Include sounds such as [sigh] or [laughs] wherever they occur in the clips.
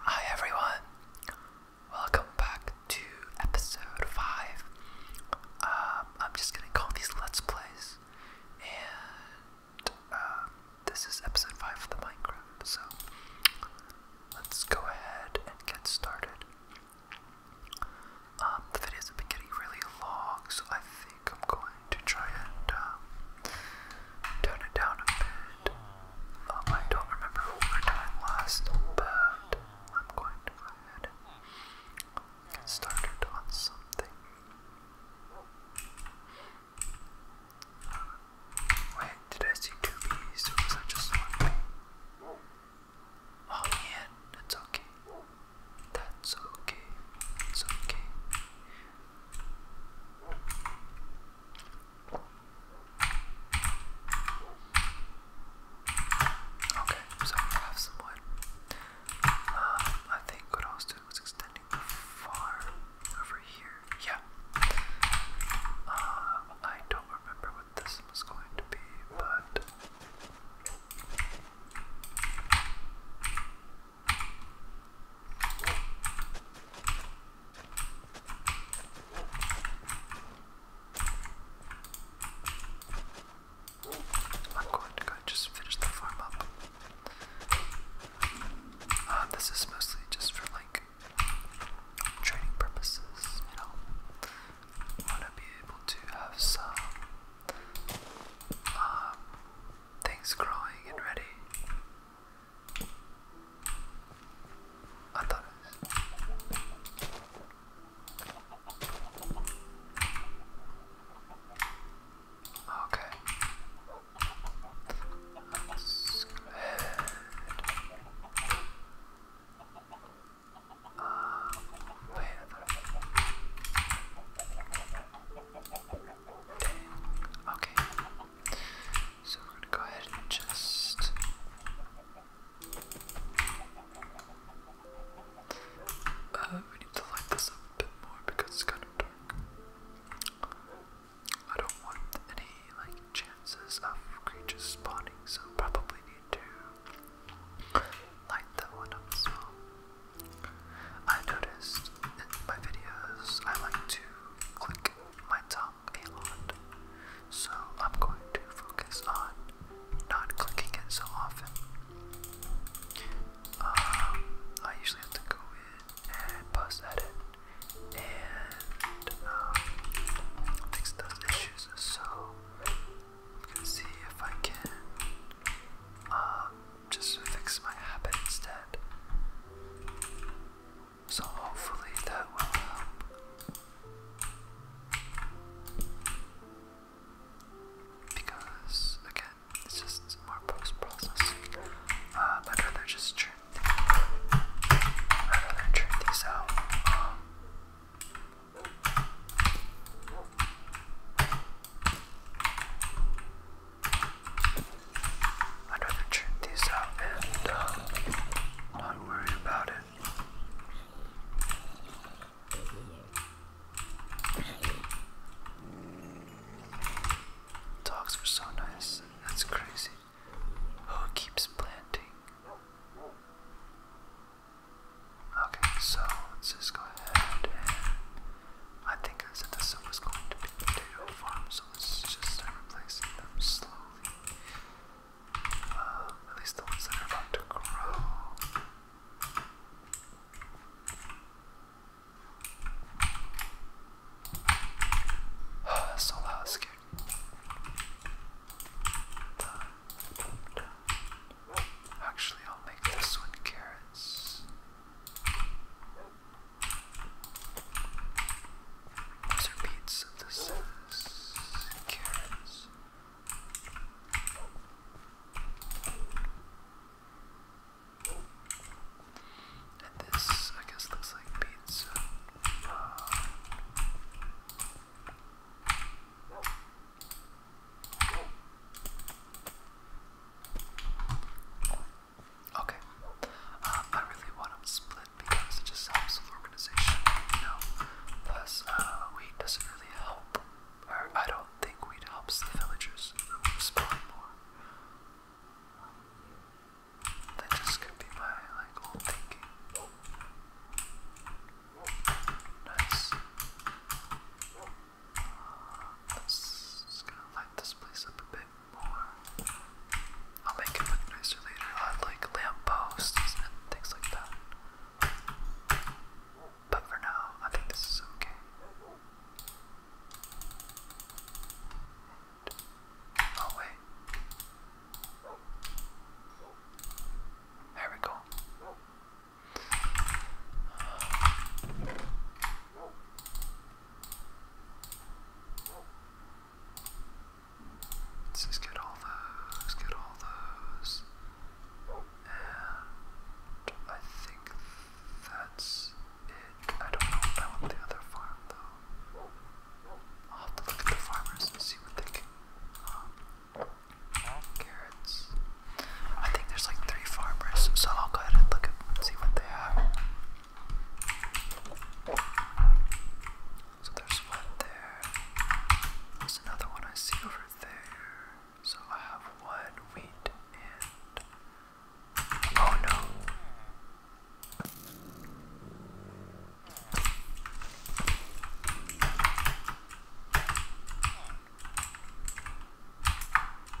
Hi everyone, welcome back to episode 5. Um, I'm just gonna call these Let's Plays, and um, this is episode 5 of the Minecraft, so let's go ahead and get started. Um, the videos have been getting really long, so I think I'm going to try and tone it down a bit. Um, I don't remember what I were doing last, but I'm going to go ahead and get started on something. Wait, did I see two bees was I just one Oh man, that's okay. That's okay. It's okay. Okay, so we have some Um, I think what I was doing was extending the over here. Yeah. Um, I don't remember what this was going to be, but. I'm going to go just finish the farm up. Uh, this is mostly just for like training purposes, you know. want to be able to have some um, things growing and ready I thought Okay. That's good. Uh, wait, I thought Okay. So we're gonna go ahead and just uh, we need to light this up a bit more because it's kind of dark. I don't want any like chances of creatures spawning, so probably need to light that one up as well. I noticed in my videos I like to click my tongue a lot. So I'm going to focus on not clicking it so often. Um, I usually have to go in and post edit and um, fix those issues. So I'm see if I can um, just fix my habit instead. So hopefully that will help. Because again, it's just more post-processing. Uh, I'd rather just churn. I'd rather churn these out. Um, I'd rather turn these out and uh, not worry about it. Dogs are so nice. That's crazy. Who keeps planting? Okay, so let's just go ahead I think I said this was going to be potato farm, so let's just start replacing them slowly. Uh, at least the that are about to grow. [sighs] that's so loud, it scared Actually, I'll make this one carrots. These are beet synthesis carrots. And this, I guess, looks like pizza. Okay. Uh, I really want them split because it just helps with organization, Plus, uh, doesn't really help, or I don't think we'd help the villagers respond more. That just could be my like old thinking. Nice. Uh, let gonna light this place up a bit more. I'll make it look nicer later. I like lamp posts and things like that. But for now, I think this is okay. oh wait. There we go. Let's just get all those, get all those. And I think that's it. I don't know I want the other farm though. I'll have to look at the farmers and see what they can. Um, carrots. I think there's like three farmers, so I'll go ahead and look at see what they have. So there's one there. There's another one I see over there. So I have one wheat and. Oh no!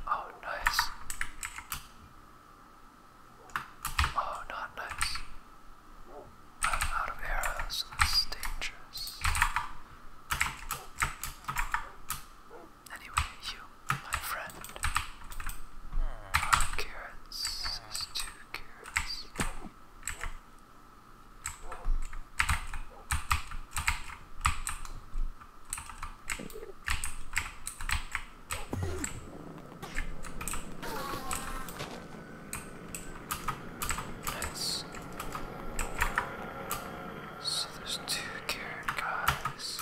Oh, nice. Oh, not nice. I'm out of arrows, so this is dangerous. Anyway, you, my friend. Five carrots. two carrots. Nice. So there's two carrot guys.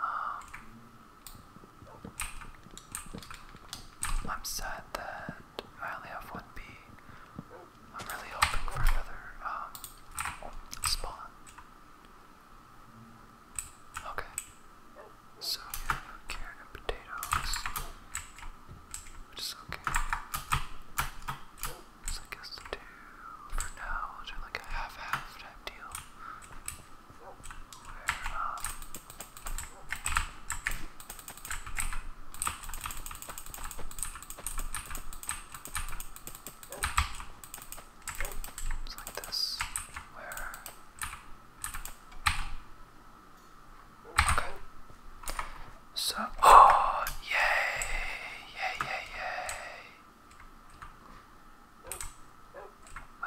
Um, I'm sad that I only have one bee. I'm really hoping for another um, spawn. Okay. So carrot and potatoes, which is okay. So I guess two for now. we like a half-half type deal. Where, um, like this, where. Okay. So, [gasps] oh, yay, yay, yay, yay.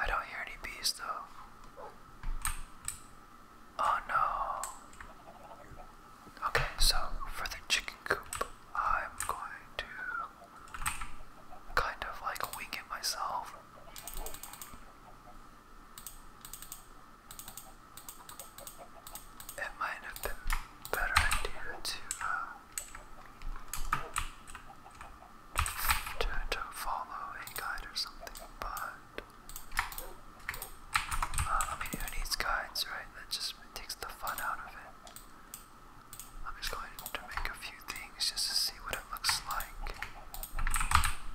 I don't hear any bees though. Oh no. Okay, so for the chicken coop, I'm going to kind of like wing it myself. It might have been better idea to uh, to, to follow a guide or something, but uh, I mean, who needs guides, right? That just personally takes the fun out of it. I'm just going to make a few things just to see what it looks like.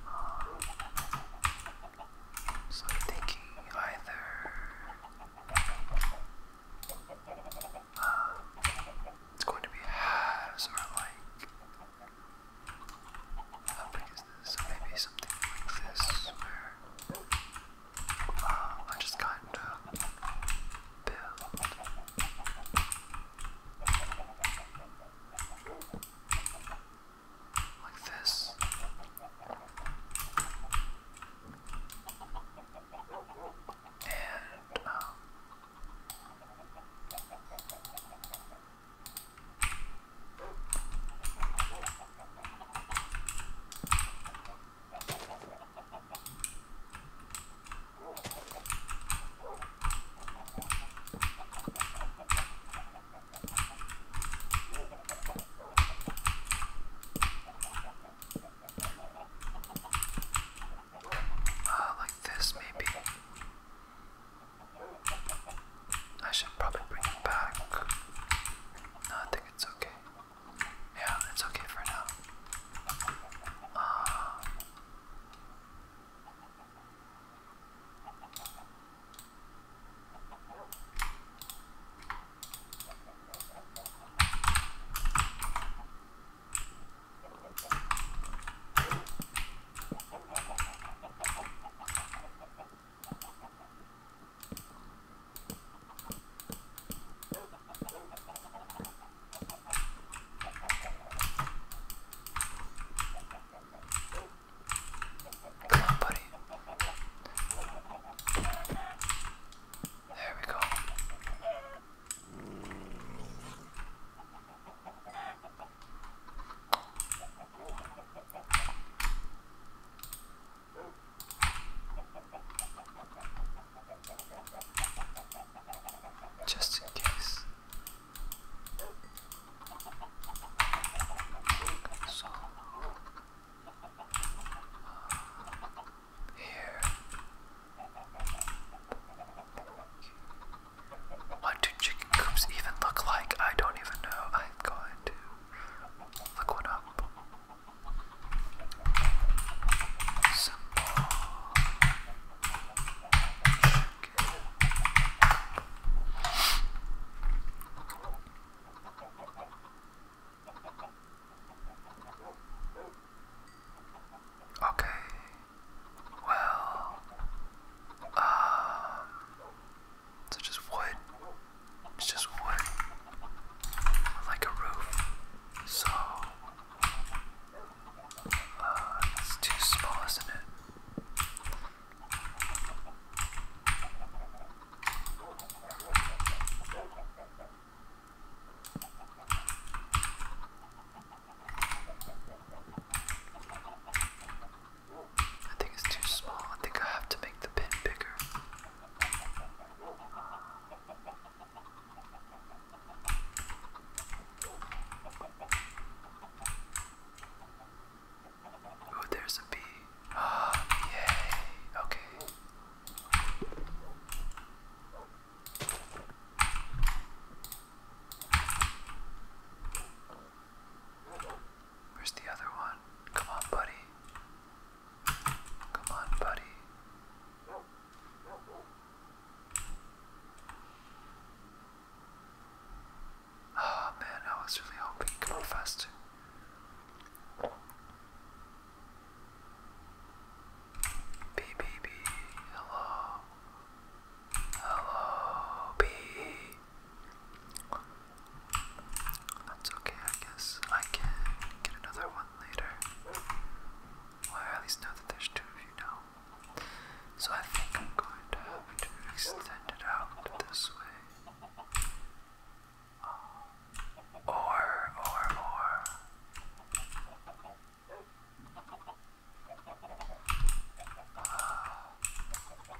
Um, so I'm thinking either uh, it's going to be halves or like how big is this? maybe something like this um, I just kind of build. Like this. And, um, uh, like this, maybe. I should probably bring it back. I think it's okay. Yeah, it's okay for now. Uh, Come on, buddy. There we go. Just in case. So uh, here. What do chicken coops even look like? I don't even know. I'm going to look one up. Some Okay. Well, um, it's just wood. It's just wood. Like a roof. So uh, it's too small, isn't it? I think it's too small. I think I have to make the pin bigger. Oh, there's a bee. Ah, yay. Okay. Where's the other one? Come on, buddy. Come on, buddy. Oh man, I was really hoping you faster. B, B, B, hello. Hello, B. That's okay, I guess. I can get another one later. at least know that there's two of you now. So I think I'm going to have to extend it out this way. Um, or, or, or. Uh,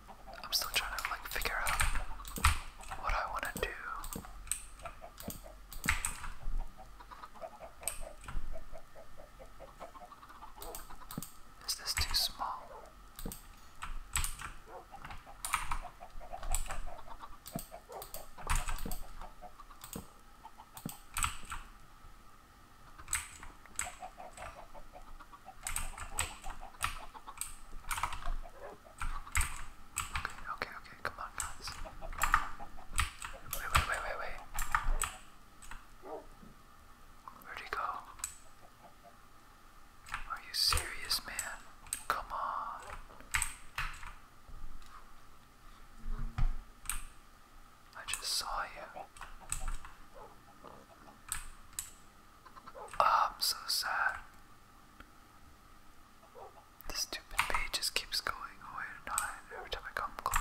I'm still trying to like figure out what I want to do. Is this too small? Okay, okay, okay, come on, guys. Wait, wait, wait, wait, wait. Where'd he go? Are you serious, man? Come on. I just saw you. Oh, I'm so sad. This stupid page just keeps going away and every time I come close.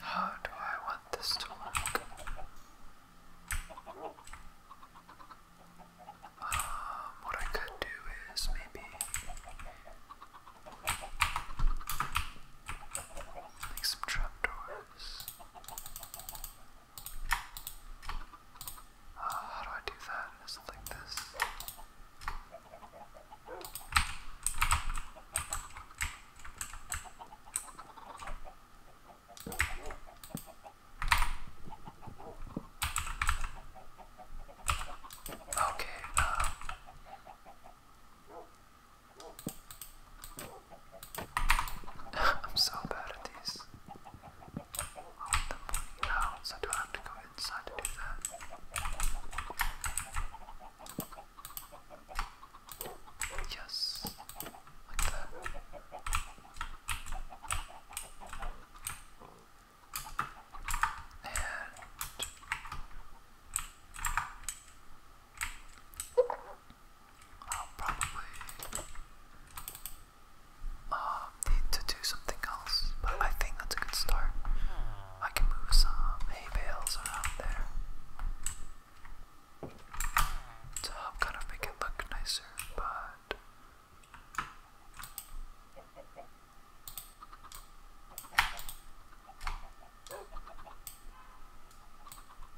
How do I want this to work? Um, what I could do is maybe make some trapdoors. Ah, how do I do that? It's like this. Okay, um, I'm so bad at these. Now, so do I go inside to do that? Yes, like that. And I'll probably um, need to do something else, but I think that's a good start. I can move some hay bales around there to help kind of make it look nicer, but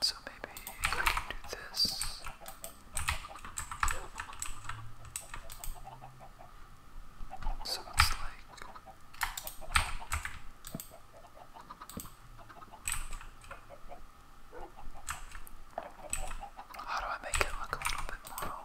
So maybe I can do this. So like how do I make it look a little bit more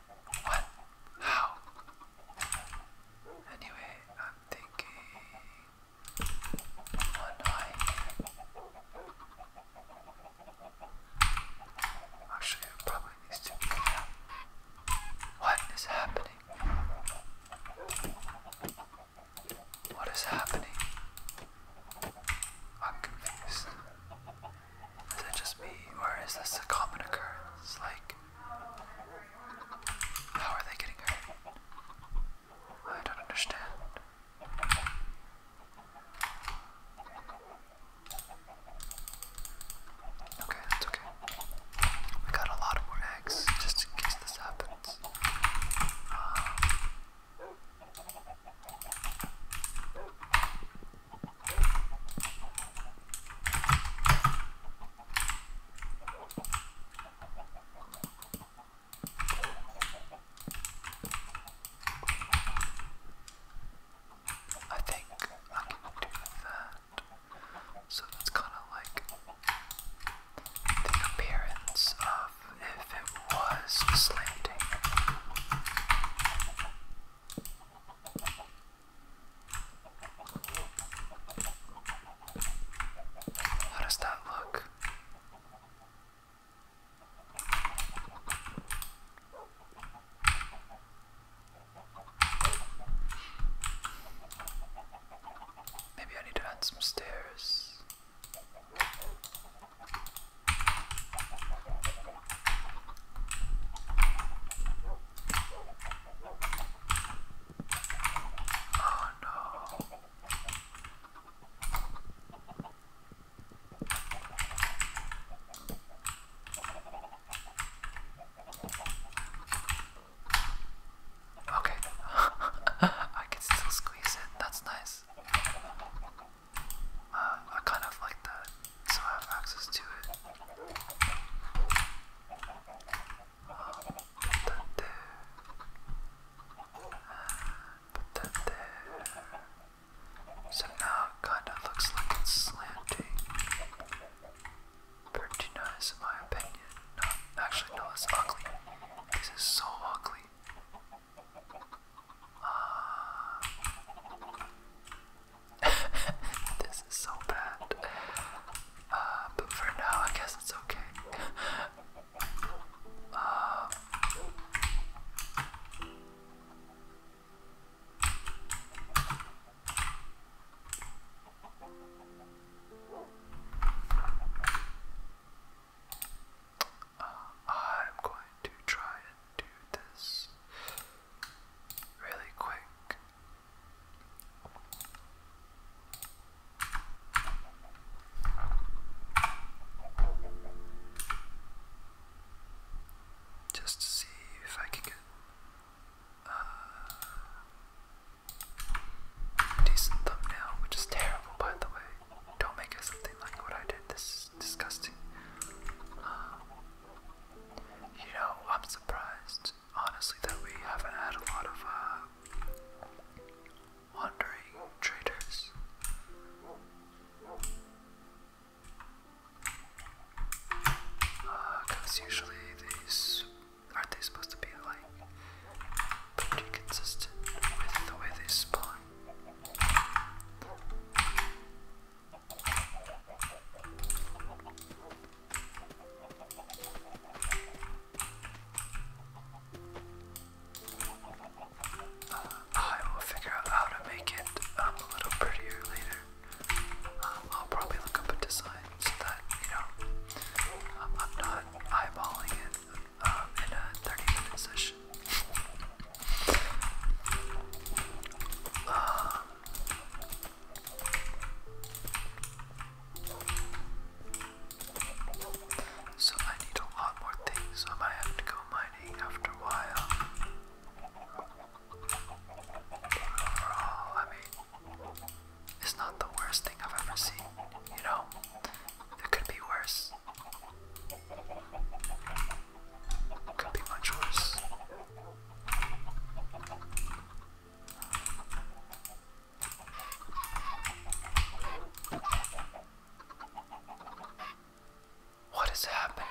What? How? Anyway, I'm thinking one eye. Actually, probably needs to be yeah. What is happening? What is happening? I'm confused. Is it just me, or is this a common occurrence? Like, how are they getting hurt? I don't understand. Okay, that's okay. We got a lot more eggs just in case this happens. Um, I think I can do that. So that's kind of like the appearance of if it was slanting. How does that look? Maybe I need to add some stairs. Oh no. Okay, [laughs] I can still squeeze it. That's nice. Uh, I kind of like that so I have access to it. I'll there. Put that there. So now it kind of looks like it's slanting. Pretty nice in my opinion. No, actually no, it's ugly. This is so ugly. Uh, [laughs] this is so bad. Uh, but for now, I guess it's okay. [laughs] Uh, I'm going to try do this really quick. Just to see if I can get a uh, decent thumbnail, which is terrible by the way. Don't make it something like what I did. This is disgusting. You know, I'm surprised, honestly, that we haven't had a lot of uh, wandering traders. Because uh, usually these aren't they supposed to be like pretty consistent with the way they spawn? I will figure out how to make it um, a little prettier later. Um, I'll probably look up a design so that, you know, um, I'm not eyeballing it in a 30 minute session. [laughs] Uh, so I need a lot more things. I have to go mining after a while. Overall, I mean, it's not the worst thing I've ever seen. You know, there could be worse. Could be my choice. What is happening?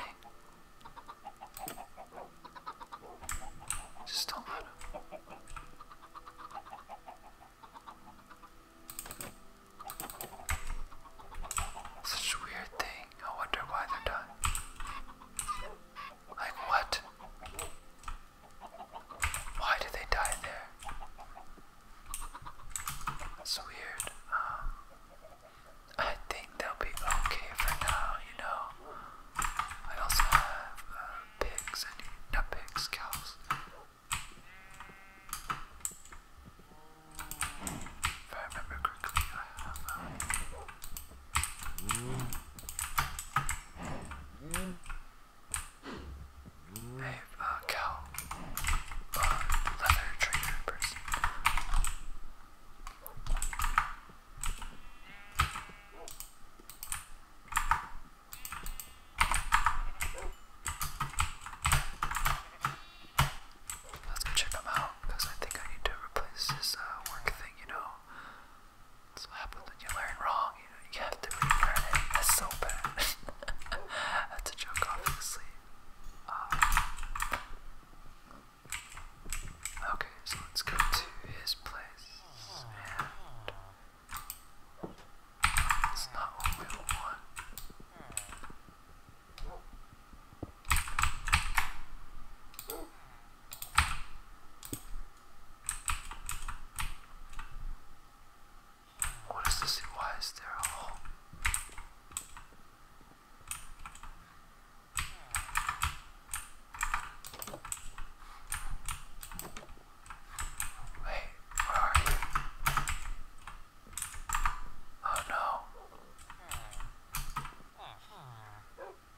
Just don't let Such a weird thing. I wonder why they're dying. Like, what? Why did they die there? That's weird. Um, I think they'll be okay for now, you know. I also have uh, pigs, and not pigs, cows. If I remember correctly, I have um, a, a uh, cow uh, leather trader person. Let's go check him out, because I think I need to replace this uh, work thing, you know. That's what happens when you learn wrong, you have to relearn it. That's so bad. [laughs] That's a joke, obviously. Um, okay, so let's go to his place, it's not what we want. What is this? Why is there a hole? where are you? Oh no. I literally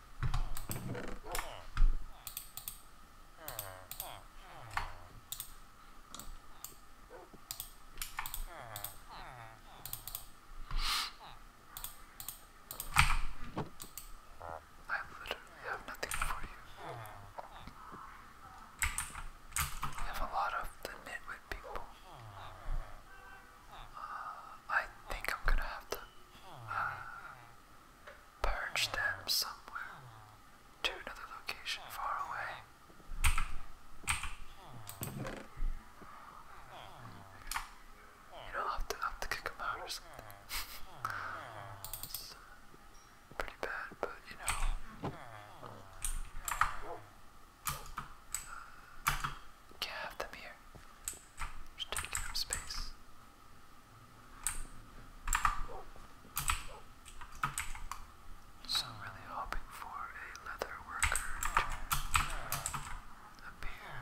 have nothing for you. We have a lot of the nitwit people. I think I'm gonna have to uh, purge them somewhere to another location far away. You know, have to, have to kick them out or something. [laughs] pretty bad, but you know. Can't have them here. Just taking up space. So I'm really hoping for a leather worker to appear.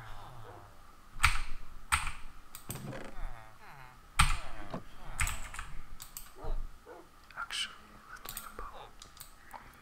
Actually, let's make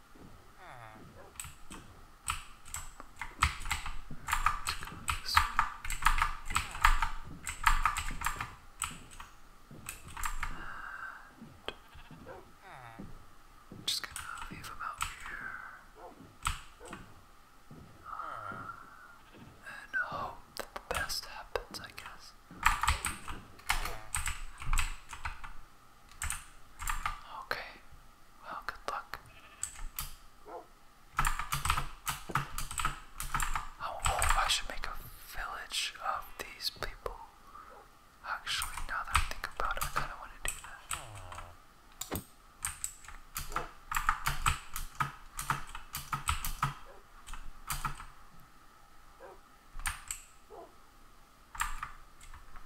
And just gonna leave him here. and hope that the best happens, I guess. Okay, well, good luck. Oh, I should make a village of these people. Actually, now that I think about it, I kind of want to do that.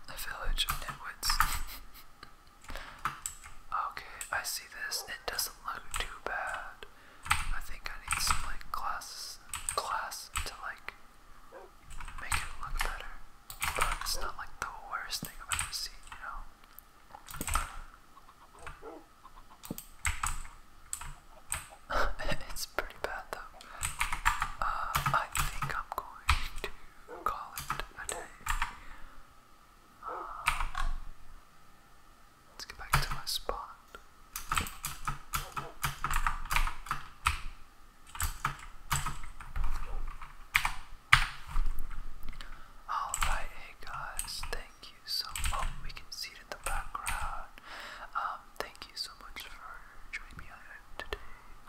The village of nitwits. okay, I see this. It doesn't look too bad. I think I need some like glass glass to like make it look better. But it's not like the worst thing I've ever seen, you know. [laughs] it's pretty bad though. Uh, I think I'm going to call it a Let's get back to my spot. Alright, hey guys, thank you so much. Oh, we can see it in the background. Um, thank you so much for joining me. I today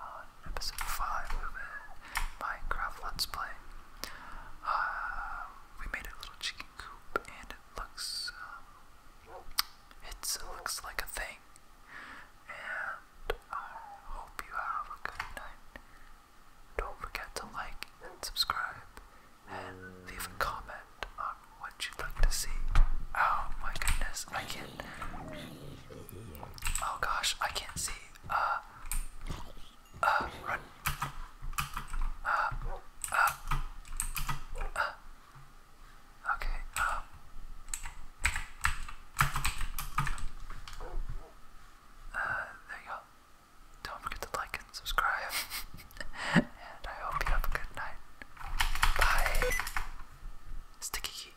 on episode 5 of a Minecraft Let's Play. Uh, we made a little chicken coop and it looks, um, it looks like a thing. And I hope you have a good night. Don't forget to like and subscribe and leave a comment on what you'd like to see. Oh my goodness, I can't. Oh gosh, I can't see. Uh, uh, run. Uh, uh, uh, Okay, um. Uh, there you go. Don't forget to like and subscribe. [laughs] and I hope you have a good night. Bye. Sticky.